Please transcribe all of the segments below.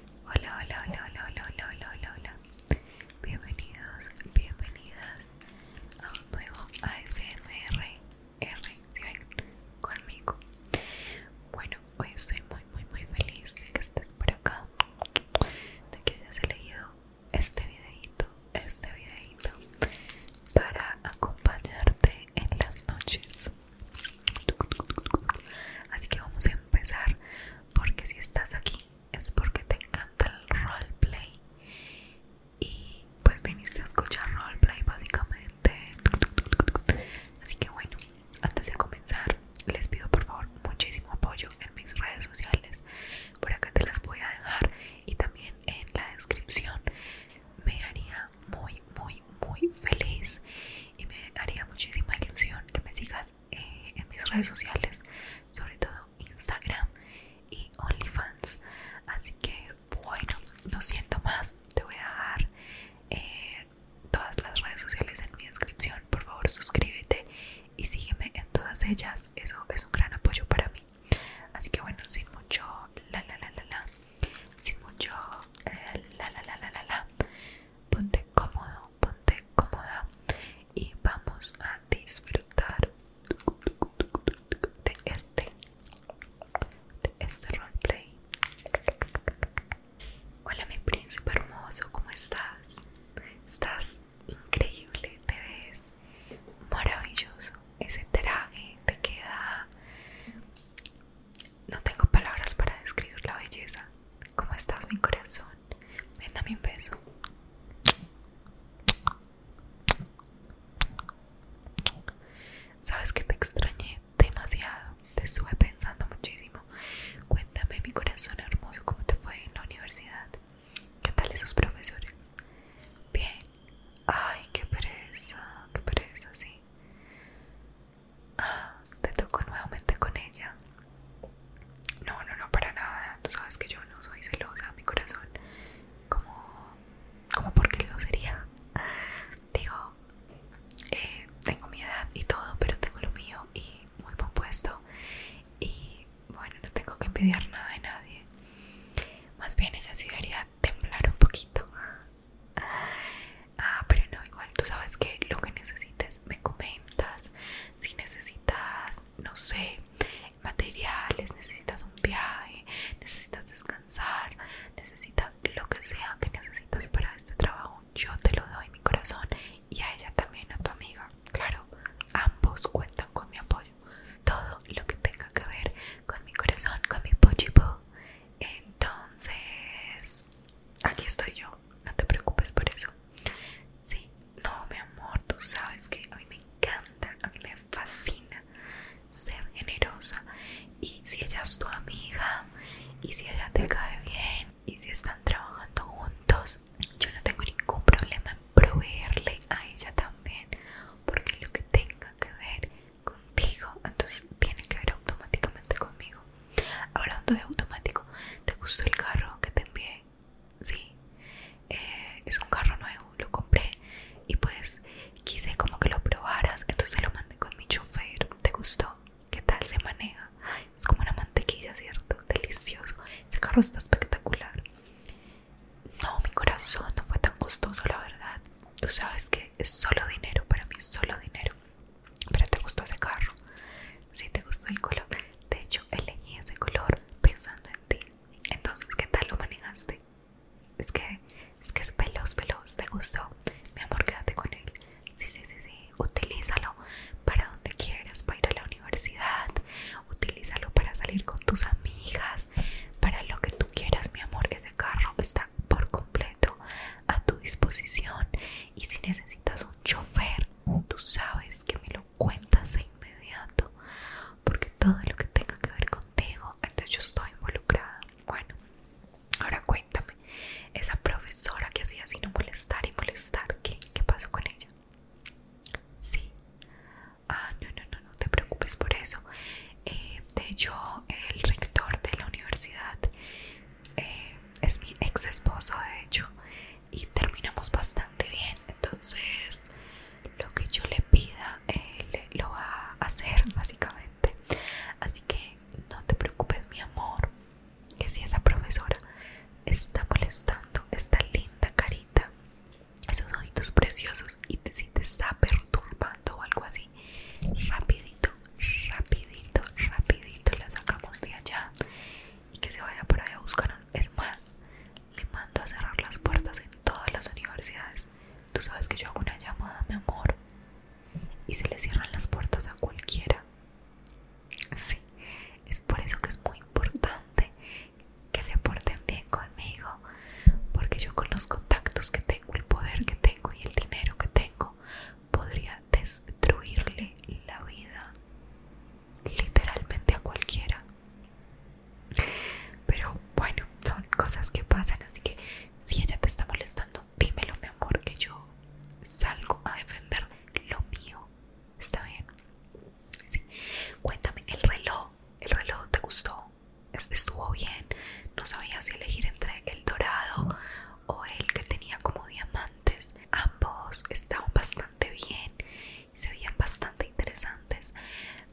Hola, hola, hola, hola, hola, hola, hola, hola, Bienvenidos, bienvenidas a un nuevo ASMR R, si ven conmigo. Bueno, hoy estoy muy, muy, muy feliz de que estés por acá, de que hayas leído este videito, este videito para acompañarte en las noches. Así que vamos a empezar porque si estás aquí es porque te encanta el roleplay y pues viniste a escuchar roleplay básicamente. Así que bueno, antes de comenzar les pido por favor muchísimo apoyo en mis redes sociales. Por acá te las voy a dejar y también en la descripción. Me haría muy, muy, muy feliz y me haría muchísima ilusión que me sigas eh, en mis redes sociales, sobre todo Instagram y OnlyFans. Así que bueno, no siento más, te voy a dejar eh, todas las redes sociales en mi descripción. Por favor, suscríbete y sígueme en todas ellas. Eso es un gran apoyo para mí. Así que bueno, sin mucho la la la la la, sin mucho eh, la la la la la la ponte cómodo, ponte cómoda y vamos a disfrutar de este, de este roleplay. Hola mi príncipe hermoso, ¿cómo estás? Estás increíble, te ves maravilloso. Ese traje te queda no tengo palabras para describir la belleza. ¿Cómo estás, mi corazón? Ven, dame un beso. Sabes que te extrañé demasiado. Te estuve pensando muchísimo. Cuéntame, mi corazón hermoso, cómo te fue en la universidad. ¿Qué tal esos profesores? Bien. Ay, qué pereza, qué pereza, sí te toco nuevamente con ella. No, no, no, para nada. Tú sabes que yo no soy celosa, mi corazón. Como, como porque lo sería. Digo, eh, tengo mi edad y todo, pero tengo lo mío y muy compuesto Y bueno, no tengo que envidiar nada de nadie. Más bien ella sí debería temblar un poquito. Ah, pero no, igual tú sabes que lo que necesites me comentas. Si necesitas, no sé, materiales, necesitas un viaje, necesitas descansar, necesitas lo que sea que necesitas para este trabajo, yo te lo doy mi corazón y a ella también, a tu amiga. Claro, ambos cuentan con mi apoyo. Todo lo que tenga que ver con mi corazón, con mi pochipo, entonces, aquí estoy yo, no te preocupes por eso. Sí, no, mi amor, tú sabes que a mí me encanta, a mí me fascina ser generosa. Y si ella es tu amiga, y si ella te cae bien, y si están trabajando juntos, yo no tengo ningún problema en proveerle a ella también, porque lo que tenga que ver contigo, entonces tiene que ver automáticamente conmigo. Hablando de automático, ¿te gustó el carro que te envié? Sí, eh, es un carro nuevo, lo compré y pues quise como que lo probaras, entonces lo mandé con mi chofer. ¿Te gustó? ¿Qué tal se maneja? es como una mantequilla, ¿cierto? Delicioso. Ese carro está espectacular. No, mi corazón no fue tan costoso, la verdad. Tú sabes que es solo dinero, para mí es solo dinero. Pero te gustó ese carro, sí, te gustó el color. De hecho, elegí ese color pensando en ti. Entonces, ¿qué tal lo manejaste? Es que es que es veloz, veloz. ¿Te gustó? Mi amor, quédate con él. Sí, sí, sí, sí. Utilízalo para donde quieras, para ir a la universidad. Utilízalo para salir con tus amigas, para lo que tú quieras, mi amor. Es carro está por completo a tu disposición y si necesitas un chofer tú sabes que me lo cuentas de inmediato porque todo lo que tenga que ver contigo entonces yo estoy involucrada bueno ahora cuéntame esa profesora que hacía así no molestar y molestar ¿qué, qué pasó con ella? sí Ah, no, no, no, no te preocupes por eso. Eh, de hecho, el rector de la universidad eh, es mi ex esposo, de hecho, y terminamos bastante bien. Entonces, lo que yo le pida, él lo va a hacer, básicamente. Así que no te preocupes, mi amor, que si esa profesora está molestando esta linda carita esos ojitos preciosos y si te está perturbando o algo así, rapidito, rapidito, rapidito la sacamos de allá y que se vaya por allá a buscar. Es más, le mando a cerrar las puertas en todas las universidades. Tú sabes que yo hago una llamada, mi amor, y se le cierran las puertas a cualquiera. Sí, es por eso que es muy importante que se porten bien conmigo, porque yo con los contactos que tengo, el poder que tengo y el dinero que tengo, podría destruirle la vida literalmente a cualquiera. Pero bueno, son cosas que pasan, así que si ella te está molestando, dímelo mi amor, que yo salgo a defender lo mío. ¿Está bien? Cuéntame, el reloj, el reloj te gustó, estuvo bien, no sabía si elegir entre el dorado o el que tenía como diamantes. Ambos estaban bastante bien, y se veían bastante interesantes,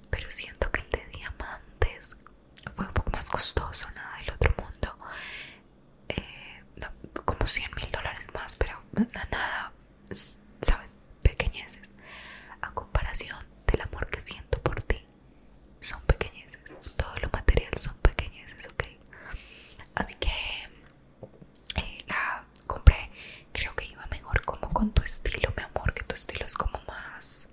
pero siento que el de diamantes fue un poco más costoso, nada del otro mundo. Eh, como 100 mil dólares más, pero nada sabes, pequeñeces, a comparación del amor que siento por ti, son pequeñeces, todo lo material son pequeñeces, ok. Así que eh, la compré, creo que iba mejor como con tu estilo, mi amor, que tu estilo es como más.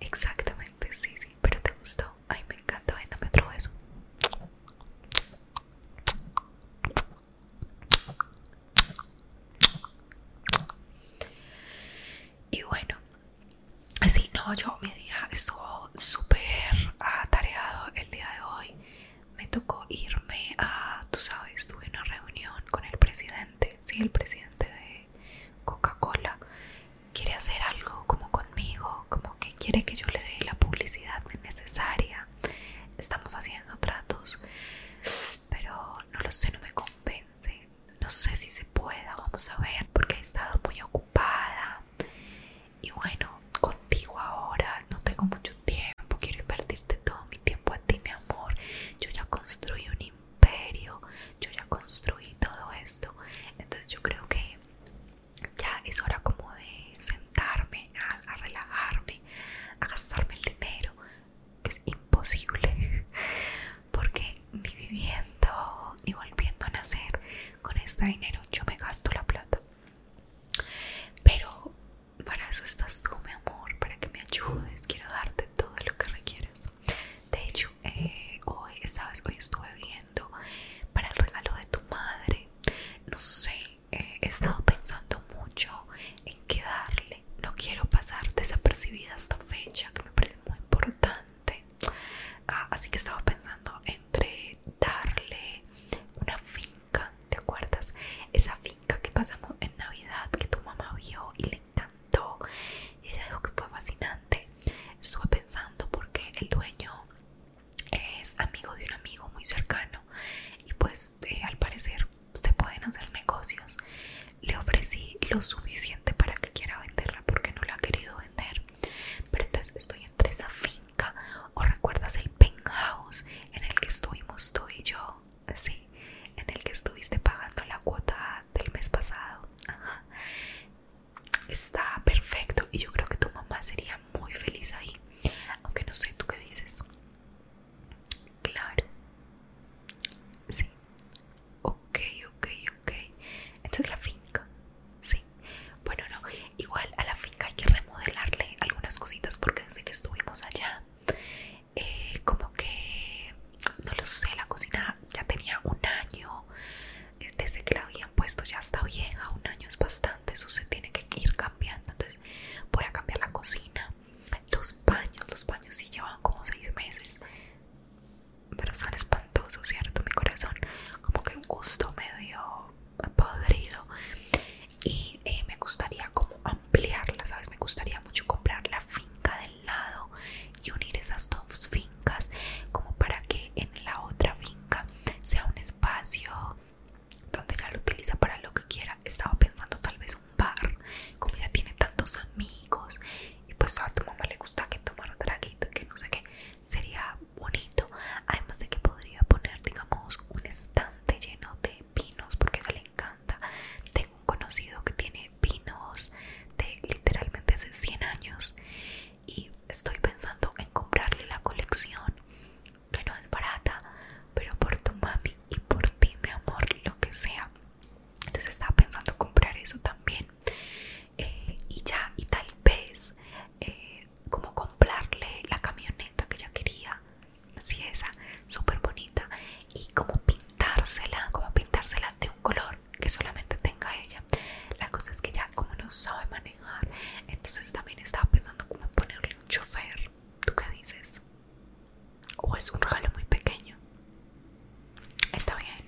Exactamente, sí, sí, pero te gustó. Ay, me encanta, ven, otro beso. Y bueno, así no, yo mi día estuvo súper atareado el día de hoy. Me tocó irme a, tú sabes, tuve una reunión con el presidente, sí, el presidente de Coca-Cola. Quiere hacer algo como conmigo, como que quiere que yo le dé la publicidad necesaria Estamos haciendo tratos, pero no lo sé, no me convence. No sé si se pueda, vamos a ver, porque he estado muy ocupada. Y bueno, contigo ahora no tengo mucho tiempo, quiero invertirte todo mi tiempo a ti, mi amor. Yo ya construí un imperio, yo ya construí todo esto. Entonces yo creo que ya es hora como de sentarme, a, a relajarme a gastarme el dinero, que es imposible, porque ni viviendo ni volviendo a nacer con este dinero yo me gasto la plata. Pero para eso estás tú, mi amor, para que me ayudes, quiero darte todo lo que requieres De hecho, eh, hoy, sabes, hoy estuve viendo para el regalo de tu madre. No sé he estado pensando mucho en qué darle. No quiero pasar desapercibida esta fecha que me parece muy importante. Ah, así que estaba pensando entre darle una finca, ¿te acuerdas? Esa finca que pasamos en Navidad que tu mamá vio y le encantó. Y ella que fue fascinante. Estuve pensando porque el dueño es amigo de un amigo muy cercano y pues eh, al parecer se pueden hacer negocios. Le ofrecí lo suficiente para que quiera venderla porque no la ha querido vender. Pero entonces estoy entre esa finca o recuerdas el penthouse en el que estuvimos tú y yo, sí, en el que estuviste pagando la cuota del mes pasado. Está perfecto y yo creo que tu mamá sería muy feliz ahí. Aunque no sé, ¿tú qué dices? Claro. Sí. Ok, ok, ok. Esta es la finca. Sí. Bueno, no. Igual a la finca hay que remodelarle algunas cositas porque desde que estuvimos allá, eh, como que, no lo sé, la cocina ya tenía un año. Eh, desde que la habían puesto ya está vieja. Un año es bastante. Eso se tiene que ir entonces voy a cambiar la cocina, los baños. Los baños sí llevan como seis meses, pero son espantosos, ¿cierto? Mi corazón, como que un gusto medio podrido. Y eh, me gustaría como ampliarla, ¿sabes? Me gustaría mucho comprar la finca del lado y unir esas dos fincas como para que en la otra finca sea un espacio donde ella lo utiliza para lo que quiera. Estaba pensando tal vez un bar, como ella tiene tantos amigos y pues a tu mamá le gusta que tomara traguito que no sé qué, sería bonito. Además de que podría poner, digamos, un estante lleno de vinos porque a le encanta. Tengo un conocido que tiene vinos de literalmente hace 100 años y estoy pensando en comprarle la colección que no es barata pero por tu mami y por ti mi amor lo que sea entonces estaba pensando comprar eso también eh, y ya y tal vez eh, como comprarle la camioneta que ya quería así esa súper bonita y como pintársela como pintársela de un color que solamente tenga ella la cosa es que ya como no sabe manejar entonces también estaba pensando como ponerle un chofer ¿tú qué dices? o es un regalo muy pequeño está bien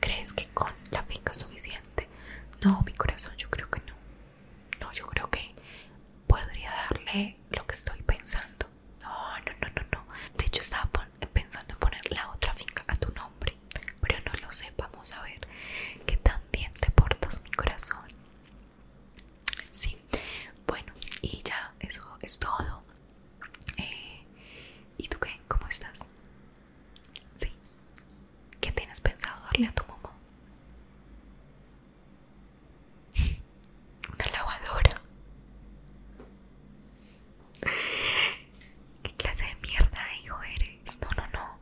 ¿crees que con la finca es suficiente? no mi corazón yo creo que no no yo creo que podría darle lo que estoy pensando no no no no no de hecho estaba pensando en poner la otra finca a tu nombre pero no lo sé, vamos a ver que bien te portas mi corazón. Sí, bueno, y ya, eso es todo. Eh, ¿Y tú qué? ¿Cómo estás? Sí. ¿Qué tienes pensado darle a tu mamá? Una lavadora. ¿Qué clase de mierda, hijo eres? No, no, no.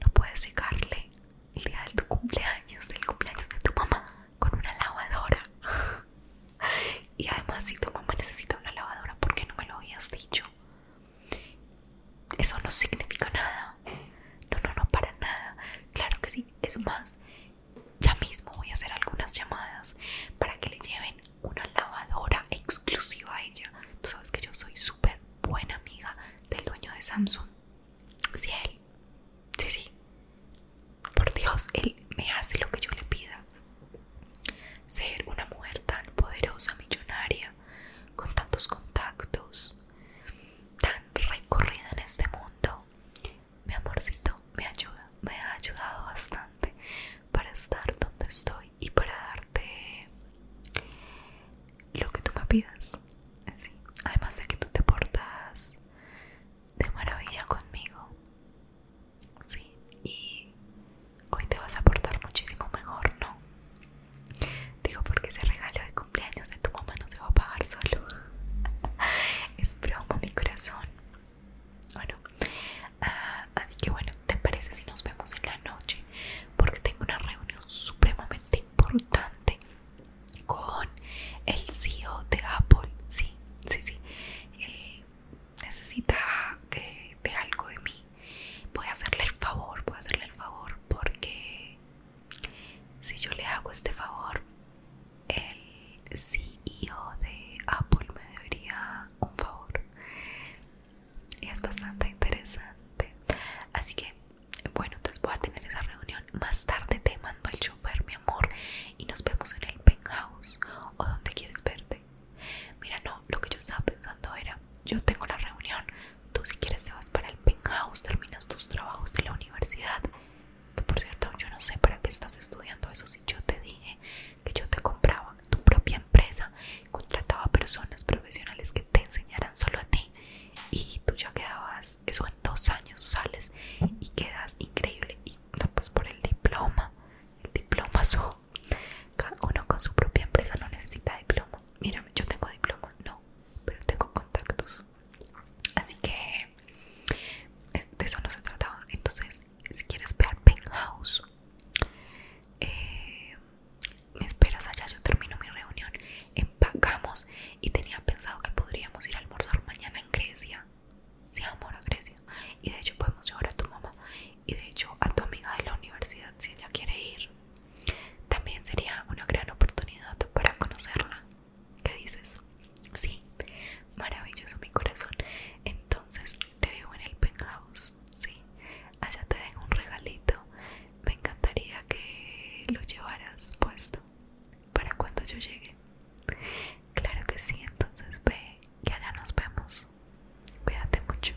No puedes secarle el día de tu cumpleaños, del cumpleaños de tu mamá, con una lavadora. Y además, si tu mamá necesita una lavadora, ¿por qué no me lo habías dicho? Eso no significa nada. No, no, no, para nada. Claro que sí. Es más, ya mismo voy a hacer algunas llamadas para que le lleven una lavadora exclusiva a ella. Tú sabes que yo soy súper buena amiga del dueño de Samsung. Si él. Sí, sí. Por Dios, él me hace lo que yo le pida. Ser una mujer tan poderosa, millonaria, con tantos contactos, tan recorrida en este mundo. Mi amorcito me ayuda, me ha ayudado bastante para estar donde estoy y para darte lo que tú me pidas. Así. Además de que tú te portas de maravilla conmigo. Sí. Y hoy te vas a portar muchísimo mejor, ¿no? Digo porque ese regalo de cumpleaños de tu mamá no se va a pagar solo. es broma mi corazón. Bueno, ah, así que bueno, ¿te parece si nos vemos en la noche? Porque tengo una reunión supremamente importante con el CEO de Apple. Sí, sí, sí. Eh, necesita que de algo de mí. Voy a hacerle el favor, voy a hacerle el favor porque si yo le hago este favor, el CEO de Apple me debería un favor y es bastante interesante así que bueno entonces voy a tener esa reunión más tarde te mando el chofer mi amor y nos vemos en el penthouse o donde quieres verte mira no lo que yo estaba pensando era yo tengo la reunión tú si quieres te vas para el penthouse terminas tus trabajos de la universidad por cierto yo no sé para qué estás estudiando eso si yo te dije que yo te compraba tu propia empresa, contrataba personas profesionales que te enseñaran solo a ti y tú ya quedabas, eso en dos años sales y quedas increíble y pues por el diploma, el diploma so, cada uno con su propia empresa no necesita diploma, mira yo tengo diploma, no, pero tengo contactos, así que de eso no se trataba, entonces si quieres ver Penthouse eh, me esperas allá, yo termino mi reunión, empacamos y tenía pensado que podríamos ir a almorzar mañana en Grecia. Se amor, a Grecia. Y de hecho podemos llevar a tu mamá y de hecho a tu amiga de la universidad si ella quiere ir. También sería una gran oportunidad para conocerla. ¿Qué dices? Sí, maravilloso mi corazón. Entonces te veo en el penthouse, sí. Allá te dejo un regalito. Me encantaría que lo llevaras puesto para cuando yo llegue. Claro que sí, entonces ve que allá nos vemos. Cuídate mucho.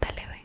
Dale, ve.